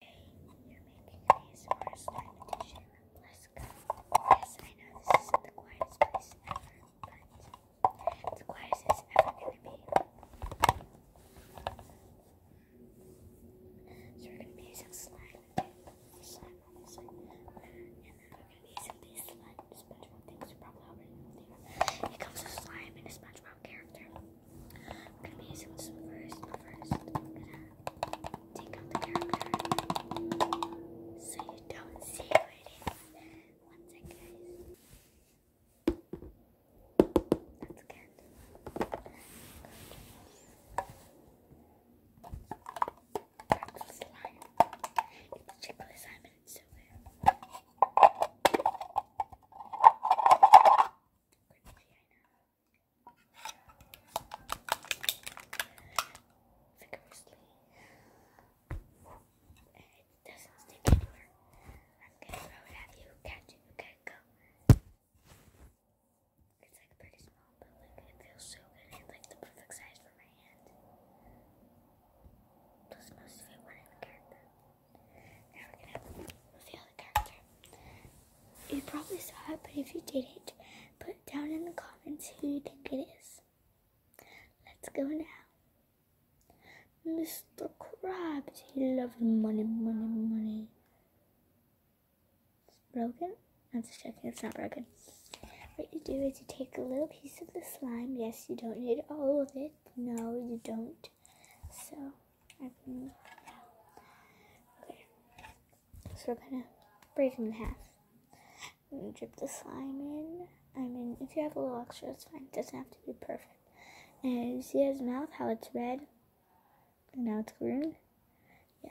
You're making these more slime Let's go. Yes, I know this isn't the quietest place ever, but it's the quietest ever going So we're gonna be using slime. Slime on this side. And then we're gonna be using these slime SpongeBob things. You probably already know It comes with slime and a SpongeBob character. I'm gonna be using some one first. First, I'm gonna take out the character so you don't see who One sec, guys. That's good. It's chocolate Cringy, I know. It doesn't stick anywhere. I'm gonna throw it at you. Catch it. You go. It's like pretty small, but like it feels so like the perfect size for my hand. Plus, most of it went in the character. Now we're gonna reveal the character. You probably saw it, but if you didn't, put down in the comments who you think it is. Let's go now. Mr. Krabs, he loves money, money, money. It's broken? I'm just checking, it's not broken. What you do is you take a little piece of the slime. Yes, you don't need all of it. No, you don't. So, Okay. So we're gonna break them in half. I'm gonna drip the slime in. I mean, if you have a little extra, that's fine. It doesn't have to be perfect. And you see his mouth, how it's red? And now it's green? Yeah.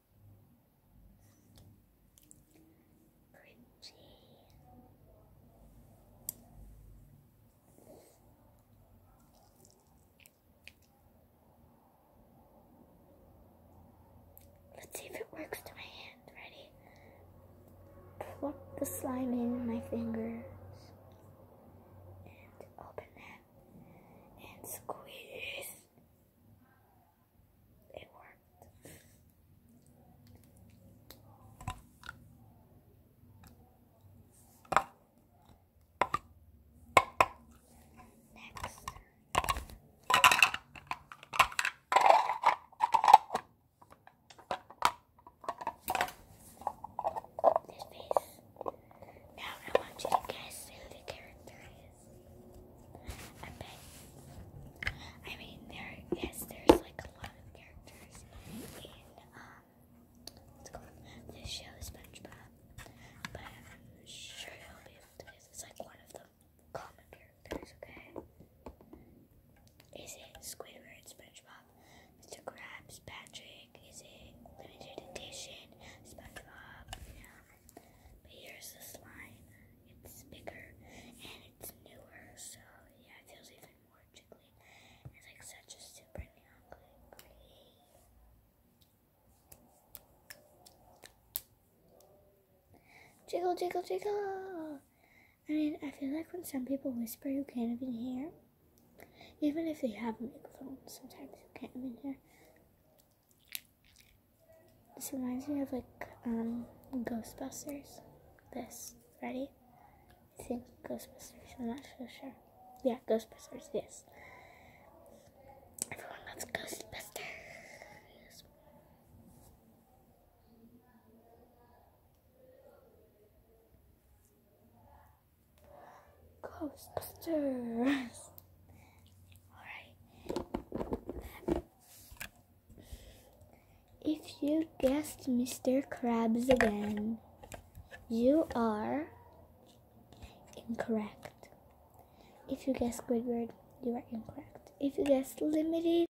Let's see if it works to my hand. Ready? Plop the slime in my fingers and open them and squeeze. It worked. Next. This face. Now I want you to guess who the character is. I I mean, there. there's like a lot of characters in um, this show, SpongeBob. But I'm sure you'll be able to guess. It's like one of the common characters. Okay. Is it Squidward, SpongeBob? Mr. Krabs, Patrick is a limited edition SpongeBob. Um, but here's the slime. It's bigger and it's newer, so yeah, it feels even more jiggly. It's like such a super neon green. Jiggle, jiggle, jiggle! I mean, I feel like when some people whisper, you can't even hear. Even if they have a microphone, sometimes you can't even hear. This reminds me of like um, Ghostbusters. This ready? I think Ghostbusters. I'm not so sure. Yeah, Ghostbusters. Yes. Everyone loves Ghostbusters. Ghostbusters. Alright. If you guessed Mr. Krabs again, you are incorrect. If you guessed Squidward, you are incorrect. If you guessed Limited,